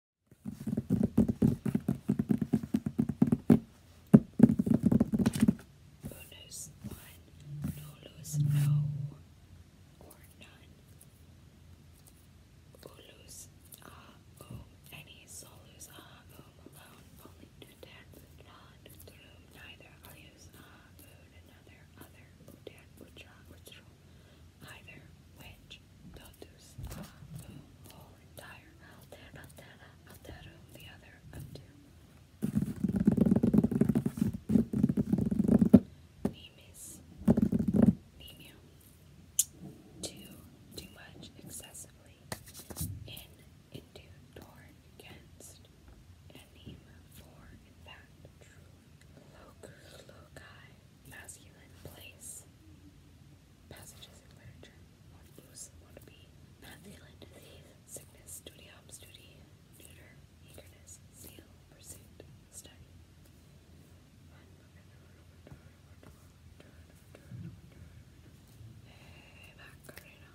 Bonus one, no lose no or none. Ulus ah any solus ah alone only dead not through neither I'll use ah um, another other udan ucha either which totus abu whole entire altera altera alterum the other of two nemis nemia too too much excessively in into toward against anima for in fact true loci masculine place. Passages in literature. What loose, what be. Masculine disease, sickness, studium, studi, eagerness, zeal, pursuit, study. Hey, Macarena.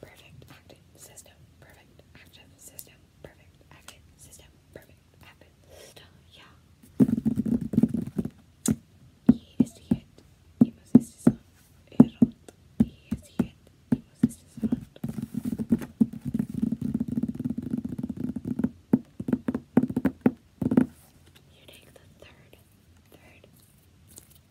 Perfect active system. Perfect active system. Perfect active system. Perfect active system. Yeah. He is the head. He possesses on. He is the head. He possesses on. You take the third, third, you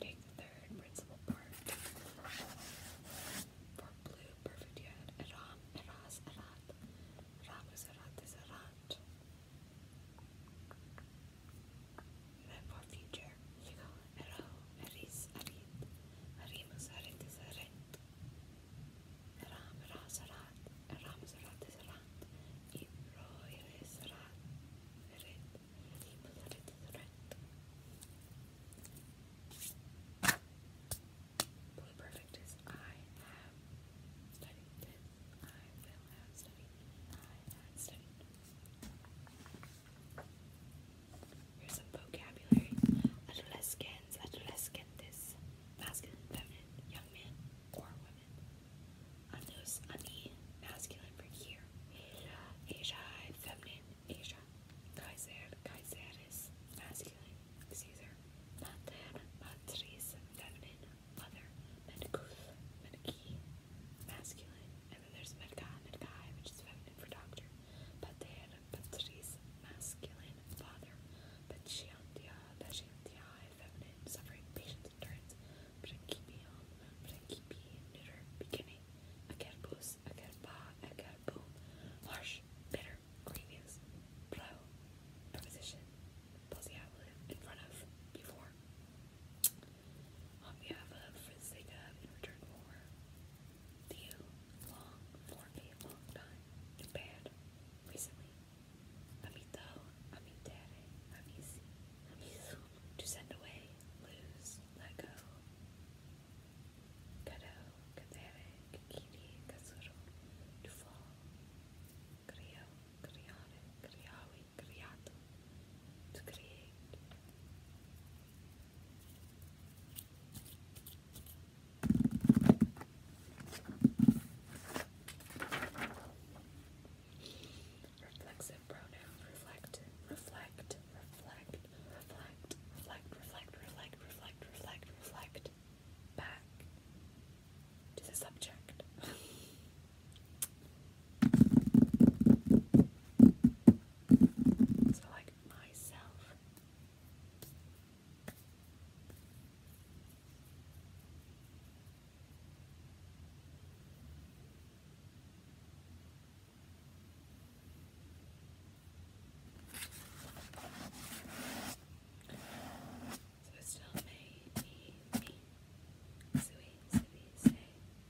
take the third principal part for blue, perfect. You eras, erat. Eram erat is my poor you know, Arau, Aris, Arid, Arimus, Aridis, Arid, Aram, Ra, Sarat, Aram, Sarat, Sarat, Ibro, Iris, Sarat, Arid, perfect Here's some vocabulary. Adolescens, adolescentes, masculine, feminine, young man, or woman. Anos, ani, masculine for here. Asia, feminine, Asia. Kaiser, kaiseris, masculine, Caesar. Mater, matris, feminine, mother. Medicus, medici, masculine, and then there's Medgar Medgai, which is feminine for doctor. Pater Patris, masculine, father. Patientia, Patientia, feminine, suffering, patience, endurance. Principium, Principi, neuter, beginning. Acerbus, acerba, acerbum, harsh, bitter, grievous. Pro, preposition, in front of, before. On behalf of Fritz Zega in return for Theo Long for a long time, Japan, recently, Amito, Amitere, Amisi, Amisu, to send away, lose, let go, Kado, Katere, Kikiri, Kasuro, it's great. Reflexive pronoun. Reflect, reflect, reflect, reflect, reflect, reflect, reflect, reflect, reflect, reflect. Back to the subject. So like myself. So it's still me, me, me, Sui, Sui, Say.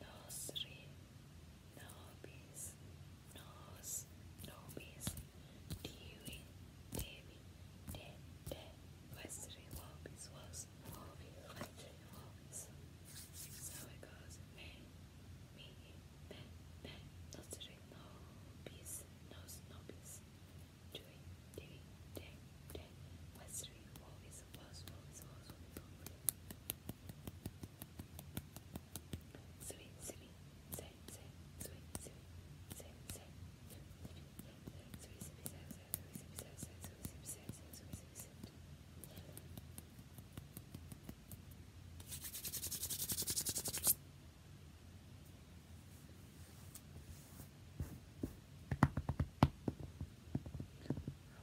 Nosri, Nobis, Nos, Nobis, Diwi, Devi, De, De, Westri, Wobis, Was, Wobi, Westri, Wobis. So it goes, Me, Me, Me, Me, Nosri, Nobis, Nos, Nobis, Dewey, Devi, De, De, Westri, Wobis, it's impossible, it's impossible, it's impossible. Sweet, sweet, say, say, sweet, sweet, say, say. Sweet, sweet, say, say, sweet, sweet, say, say, sweet, sweet, say, say, sweet, sweet, say. Thank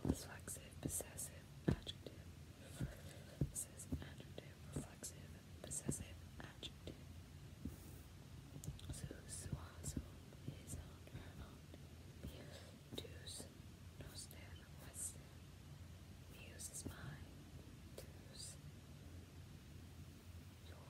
Reflexive, possessive, adjective. This is adjective, reflexive, possessive, adjective. Su, suazo, izon, ernon, tus, noster, wester. Muse is mine, tus, your.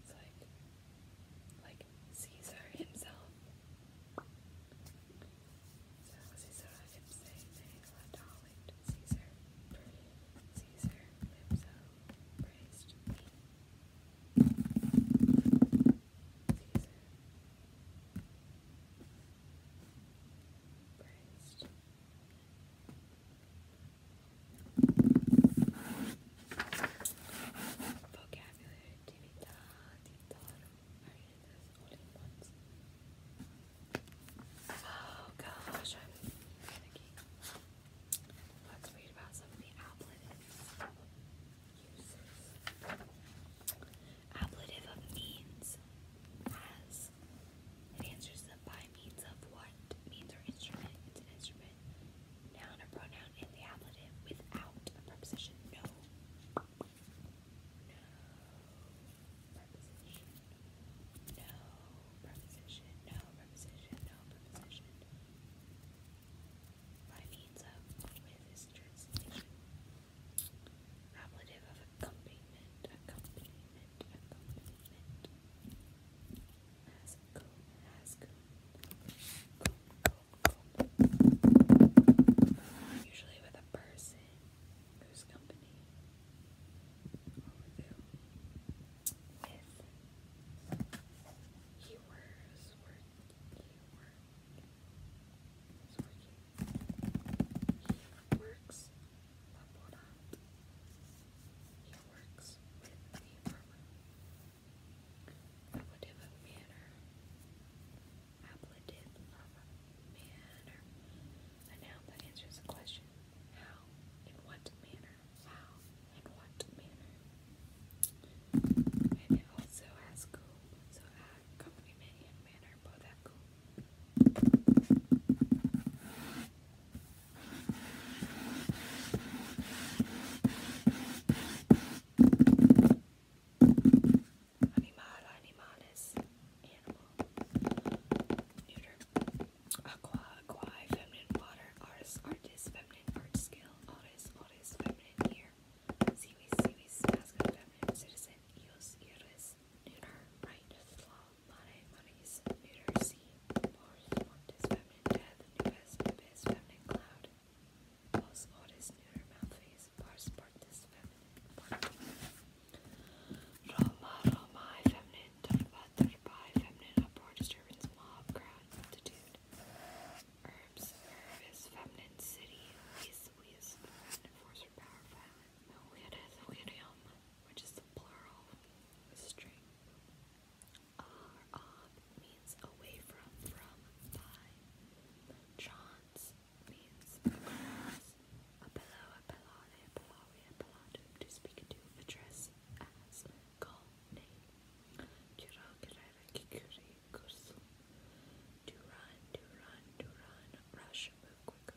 it's like, like Caesar himself. So Caesar him say they adolit Caesar. Caesar himself praised Caesar praised Vocabulary, you Oh gosh, Let's read about some of the appletives. Uses. Ablative of means as it answers by means of what means or instrument. It's an instrument, noun or pronoun in the ablative without a preposition. No. No. Preposition. No. Preposition. No. Preposition. No. Preposition. By means of with this Ablative of accompaniment, accompaniment, accompaniment. Has go, has go. Usually with a person whose company with he wears work, he work, he works, Pomona. He works with the formative manner, appellative of manner, a noun that answers the question how, in what manner, how, in what manner. And it also has cool, so accompaniment and manner they're Animal, animales, animal, aqua, aqua, feminine, water, artist, artist, feminine, art, skill, artist, artist, feminine, here, seaweed, seaweed, masculine, feminine, citizen, neuter, right, slow, mare, maris, neuter, sea, mors, montes, feminine, death, nubes, feminine, cloud, os, oris, neuter, mouthface, pars, partis, feminine, part. Roma, romae, feminine, turba, turbae, feminine, uproar, disturbance, mob, crowd, multitude, herbs, herbis, feminine, city, weas, weas, feminine, force, power, violence. Wirium, which is the plural string. Ar on means away from, from, by. Chance means across. Apello, appellare, appellare, appellatum, to speak to, address as, call, name. Cura, curare, kikuri, cursum. To run, to run, to run, rush, move quickly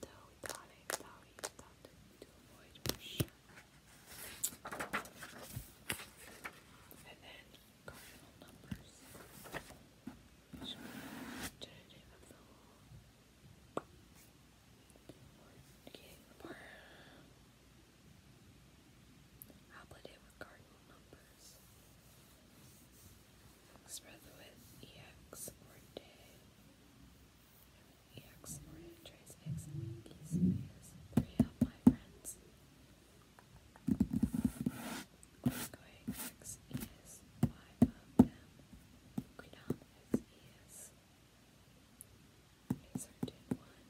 Though we got it, though we thought to avoid for sure. And then cardinal numbers. Which are tentative getting more applicant with cardinal numbers. Spread with EX or day. EX franchise X Winkies is three of my friends. Quiscoy X is five of them. Quidam X is a certain one.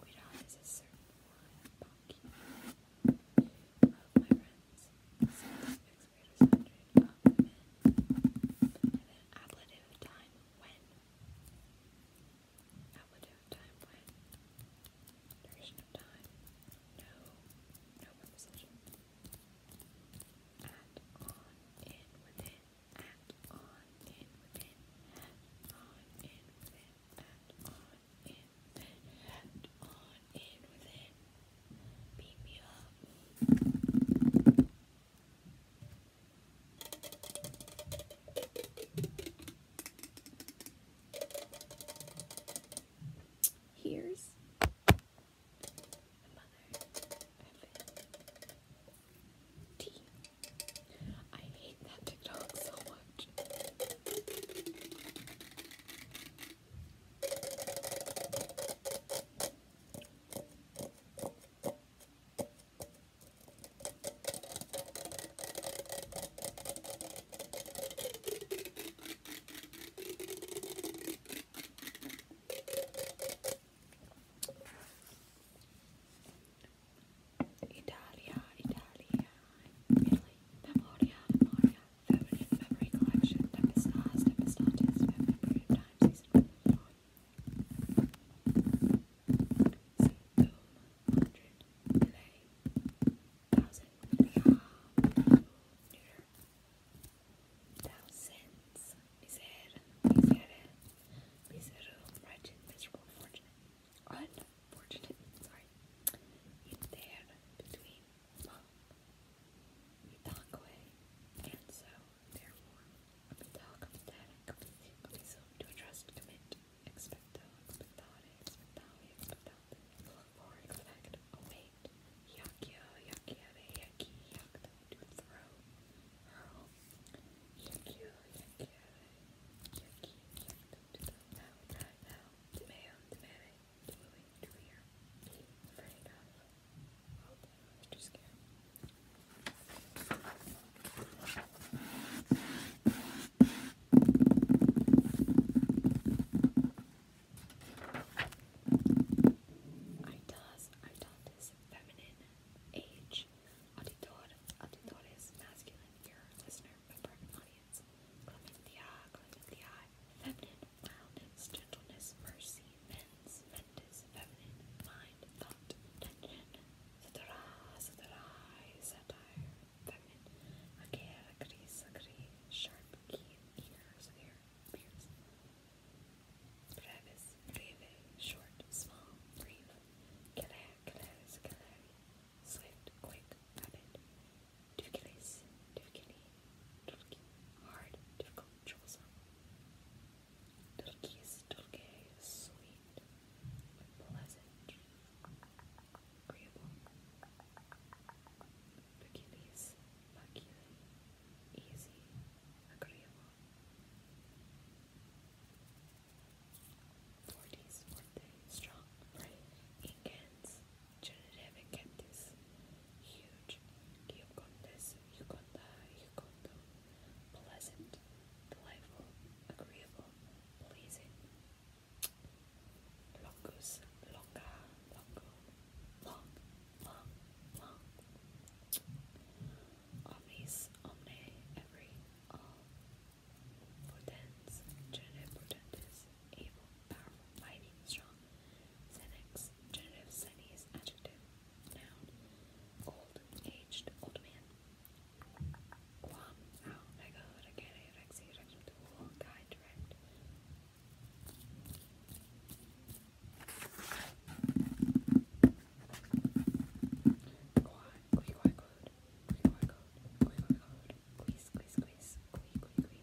Quidam is a certain one. Bonky. Of my friends. X greatest hundred ablative time when? Ablative time when? Duration of time? No. No preposition. At, on, in, within. At, on, in, within. At, on, in, within. At, on, in, within beam you up. Here's the mother of tea. I hate that TikTok so much. Italia, Italia, Italy, Memoria, Memoria, evident memory collection, Tempestantes, Tempestantes, Memory period of time, season 1. So, boom, delay, 1000, yeah, neuter, thousands, miser, misere, misero, wretched, miserable, fortunate, unfortunate, sorry, in there, between, Tongue and so, therefore, Apital comitatic, comiso, to trust, commit, expecto, expectare, expectale, expectante, look for, expect, await, yakio, yakiave, yaki, yakto, to throw, hurl, yakio, yakiave, yaki, yakto, to throw, now, now, now, demand, flowing through here. Fair I'm too I does, I feminine age. Auditor, auditores, masculine, your listener, member, audience. Clementia, Clementia, feminine, mildness, gentleness, mercy, mens, mentis, feminine, mind, thought, intention, cetera, cetera, satire, feminine, agere, gris, agree, sharp, keen, ears, ear, pierce, brevis, breve, short, small, brief, clair, clairs, clary, swift, quick, rapid, Difficulties, Turkey, hard, difficult, troublesome. Turkey is sweet, pleasant, agreeable. Turkey is easy, agreeable. Forties, forte, strong, brave, intense. Generative cactus, huge Eucondes, Euconda, Eucondo, pleasant, delightful, agreeable, pleasing. Longus, longa, longo, long, long, long. Omnis, omne, every, all. Potens, generative potentes, able, powerful, mighty, strong. Senex, genitive senes, adjective, noun, old, aged, old man. Guam, oh my god, I can't erexi, erexi, tool, guide, direct. Quad, qui, quad, quad, qui, quad, quad, qui, quad, quad, qui, squeeze, squeeze, qui, qui, qui,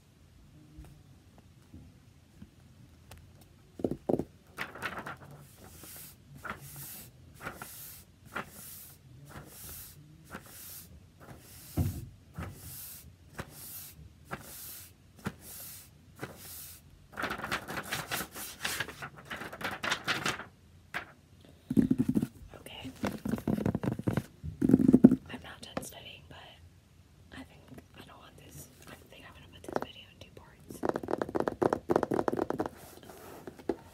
Okay. I'm not done studying, but I think I don't want this. I think I'm gonna put this video in two parts.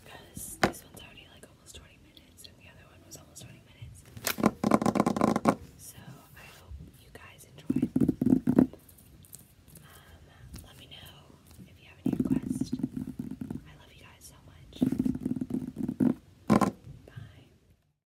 Because this one's already like almost 20 minutes, and the other one was almost 20 minutes. So I hope you guys enjoyed. Um, let me know if you have any requests. I love you guys so much. Bye.